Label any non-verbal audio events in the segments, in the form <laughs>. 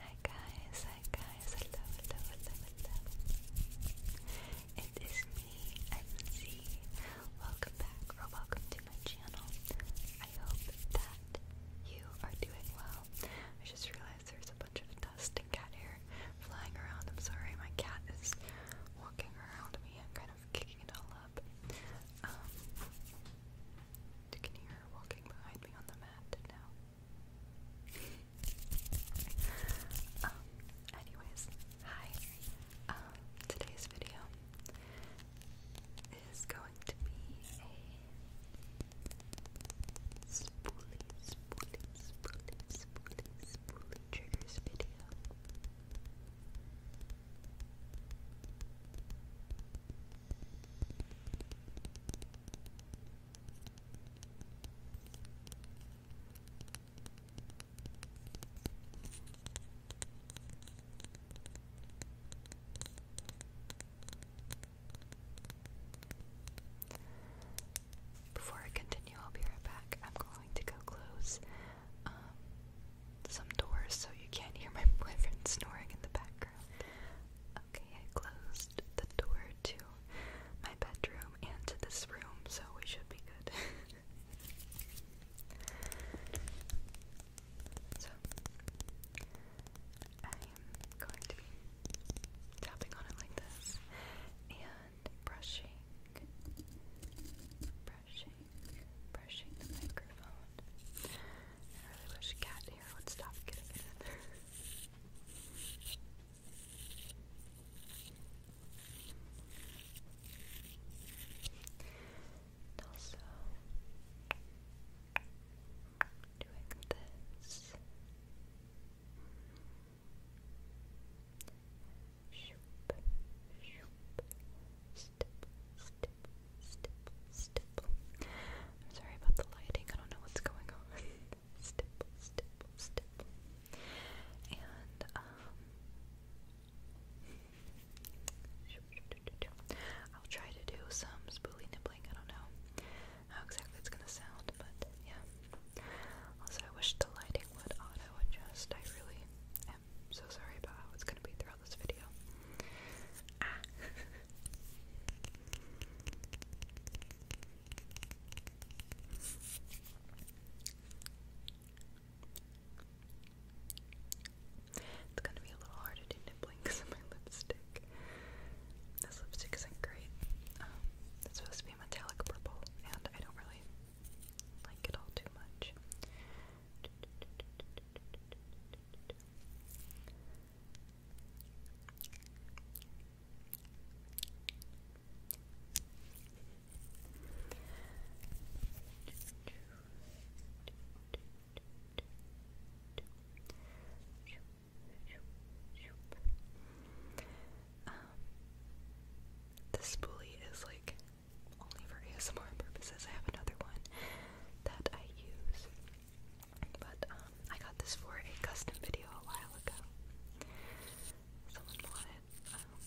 Hi guys, hi guys, hello, hello, hello, hello. It is me, MC. Welcome back or welcome to my channel. I hope that you are doing well. I just realized there's a bunch of dust and cat hair flying around. I'm sorry, my cat is walking around me and kind of kicking it all up. Um, you can her walking um, anyways, hi. Um, today's video is going to be a spoolie, spoolie, spoolie, spoolie, spoolie triggers video. Before I continue, I'll be right back. I'm going to go close um, some doors so you can't hear my <laughs> boyfriend snoring in the background. Okay, I closed the door to my bedroom and to this room, so we should be good. <laughs> so, I am going to be tapping on it like this and brushing, brushing, brushing the microphone. I really wish cat here would stop getting in there. And also doing this. Shoop, shoop, I'm sorry about the lighting, I don't know what's going on. <laughs> And, um, I'll try to do some spooly nibbling, I don't know how exactly it's gonna sound, but yeah. Also, I wish the lighting would auto adjust. I really I'm so sorry about how it's gonna be throughout this video. Ah. It's gonna be a little hard to do nibbling because <laughs> of my lipstick. This lipstick isn't great. Um, it's supposed to be metallic purple, and I don't really like it all too much. Um, this spoolie is like only for ASMR purposes. I have another one that I use. But um, I got this for a custom video a while ago. Someone wanted um,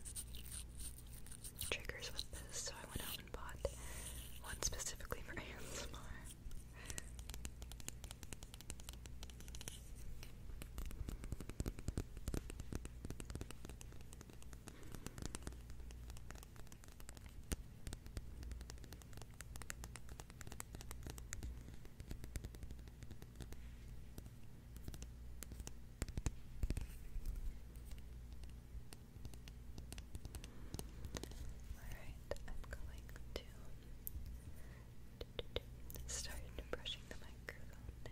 triggers with this, so I went out and bought one specifically for ASMR. <laughs> Alright, I'm going to start brushing the microphone now.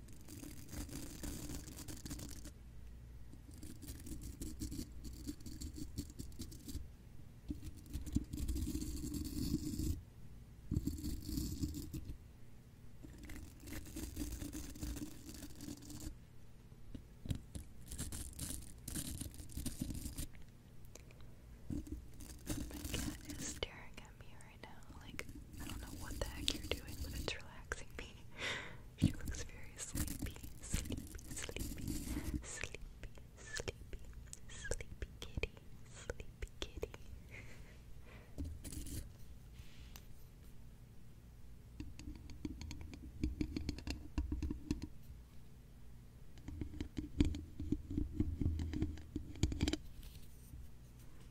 My cat is staring at me right now. Like, I don't know what the heck you're doing, but it's relaxing me. <laughs> She looks very sleepy, sleepy, sleepy, sleepy, sleepy, sleepy kitty, sleepy kitty.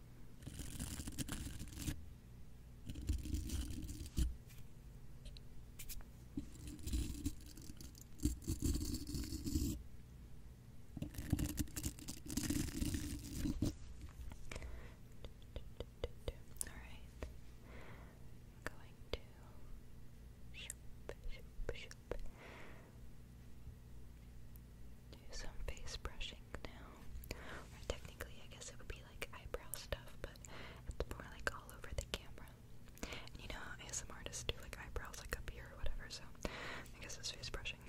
Alright. i going to shoop, shoop, shoop. Do some face brushing now. technically, I guess it would be like eyebrow stuff, but it's more like all over the camera. you know how ASM artists do like eyebrows like up here or whatever, so I guess it's face brushing. <laughs>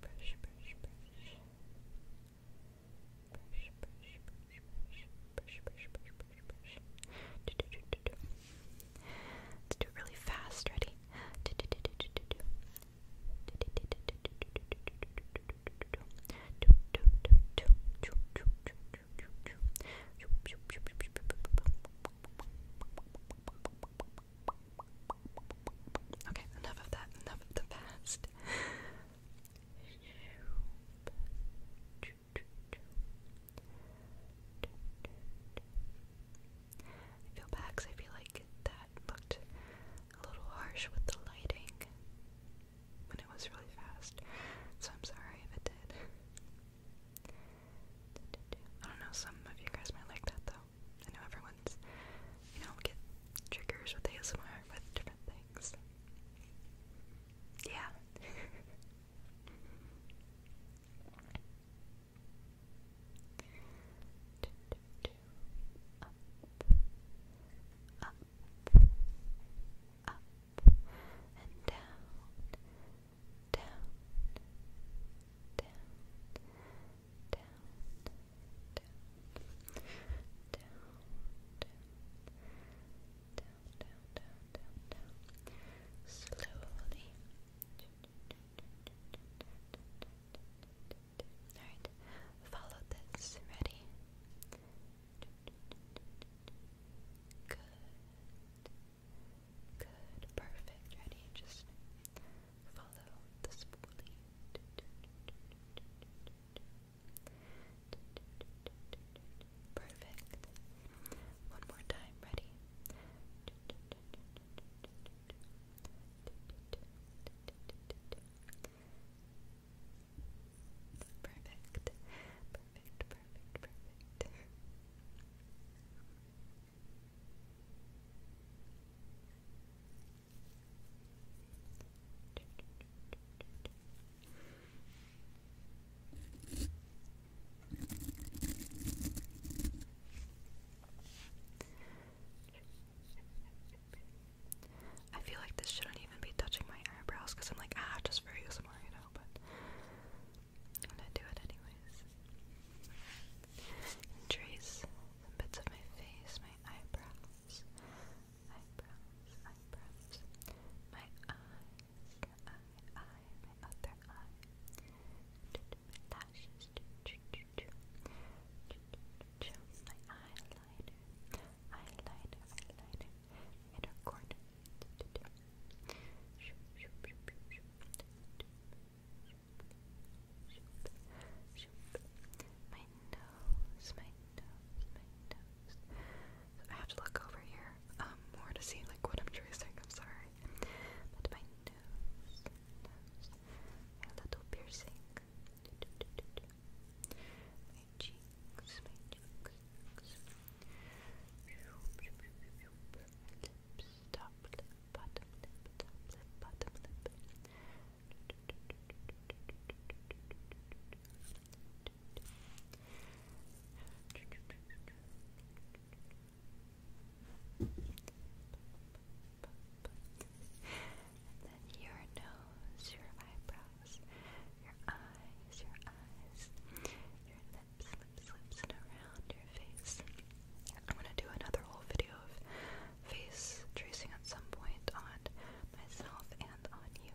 Brush, brush, brush. Let's do it really fast. Ready? Okay, enough of that, enough of the past. I feel back I feel like that looked a little harsh with the lighting when it was really fast, so I'm sorry if it did. I don't know, some of you guys might like that though. I know everyone's, you know, get triggers with ASMR with different things. Yeah. up, up, up, and down, down, down, down, down, down, down, down. Slowly. Alright, follow this. Ready? Good. Good. Perfect. Ready? Just follow the spoolie. Perfect. One more time, ready? Perfect. Perfect, perfect, perfect. I feel like this shouldn't even be touching my eyebrows because I'm like, ah, just for ASMR, you know, but I'm gonna do it anyways. And trace bits of my face, my eyebrows promise. I promise. I My eye, eye, eye, my other eye. My lashes. My eyeliner. Eyeliner. Eyeliner. Inner corner. My nose, my nose, my nose. I have to look over here um, more to see like what I'm tracing. I'm sorry, my nose, my little piercing. Do, do, My cheeks, my Lips, top lip, bottom lip, top lip, bottom lip. And then your nose, your eyebrows, your eyes, your eyes, your lips, lips, and around your face. I'm gonna do another whole video of face tracing at some point on myself and on you.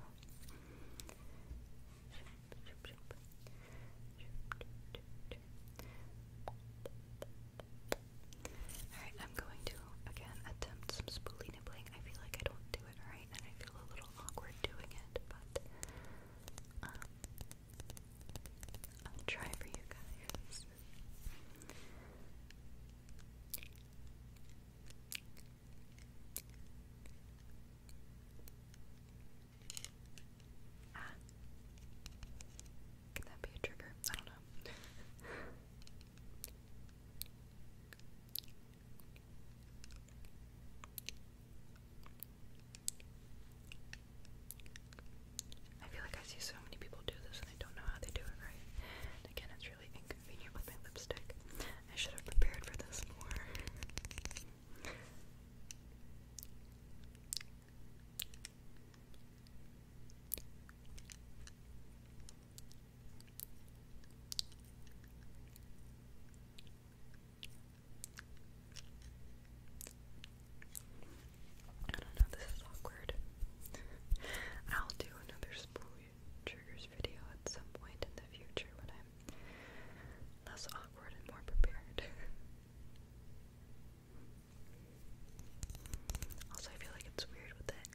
Alright, I'm going to again attempt some spoolie nibbling. I feel like I don't do it right and I feel a little awkward doing it, but um, I'll try for you guys. Ah. Can that be a trigger? I don't know. I feel like I see so many people do this and I don't know how they do it right. again, it's really inconvenient with my lipstick. I should have prepared for this more. I don't know, this is awkward. I'll do another spoolie triggers video at some point in the future when I'm less awkward and more prepared. <laughs> also, I feel like it's weird with it.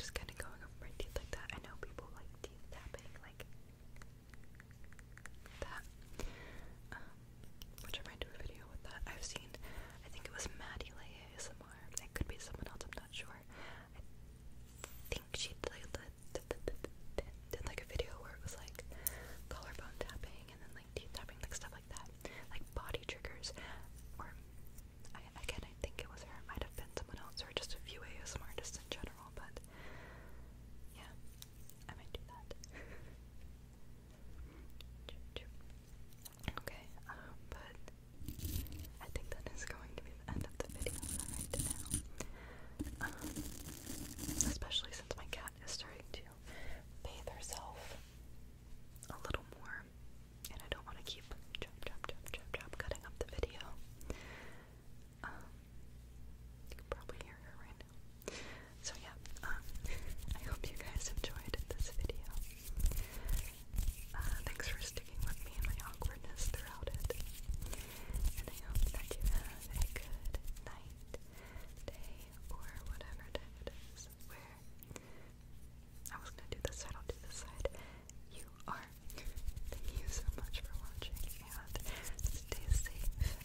Just kind of going over my teeth like that. I know people like teeth tapping, like that. Um, which I might do a video with that. I've seen, I think it was Maddie Lay ASMR. It could be someone else, I'm not sure. I think she did, like a video where it was like collarbone tapping and then like teeth tapping, like stuff like that. Like body triggers. Or, I, again, I think it was her. It might have been someone else or just a few ASMR just in general, but yeah, I might do that. <laughs> Okay, um, but I think that is going to be the end of the video right now. Um, especially since my cat is starting to bathe herself a little more, and I don't want to keep chop, chop, chop, chop, chop cutting up the video. Um, you can probably hear her right now. So yeah, um, I hope you guys enjoyed this video. Uh, thanks for sticking with me and my awkwardness throughout it. And I hope that you have a good night, day, or whatever time it is where I was gonna do this side, I'll do this side. You are. Thank you so much for watching and stay safe.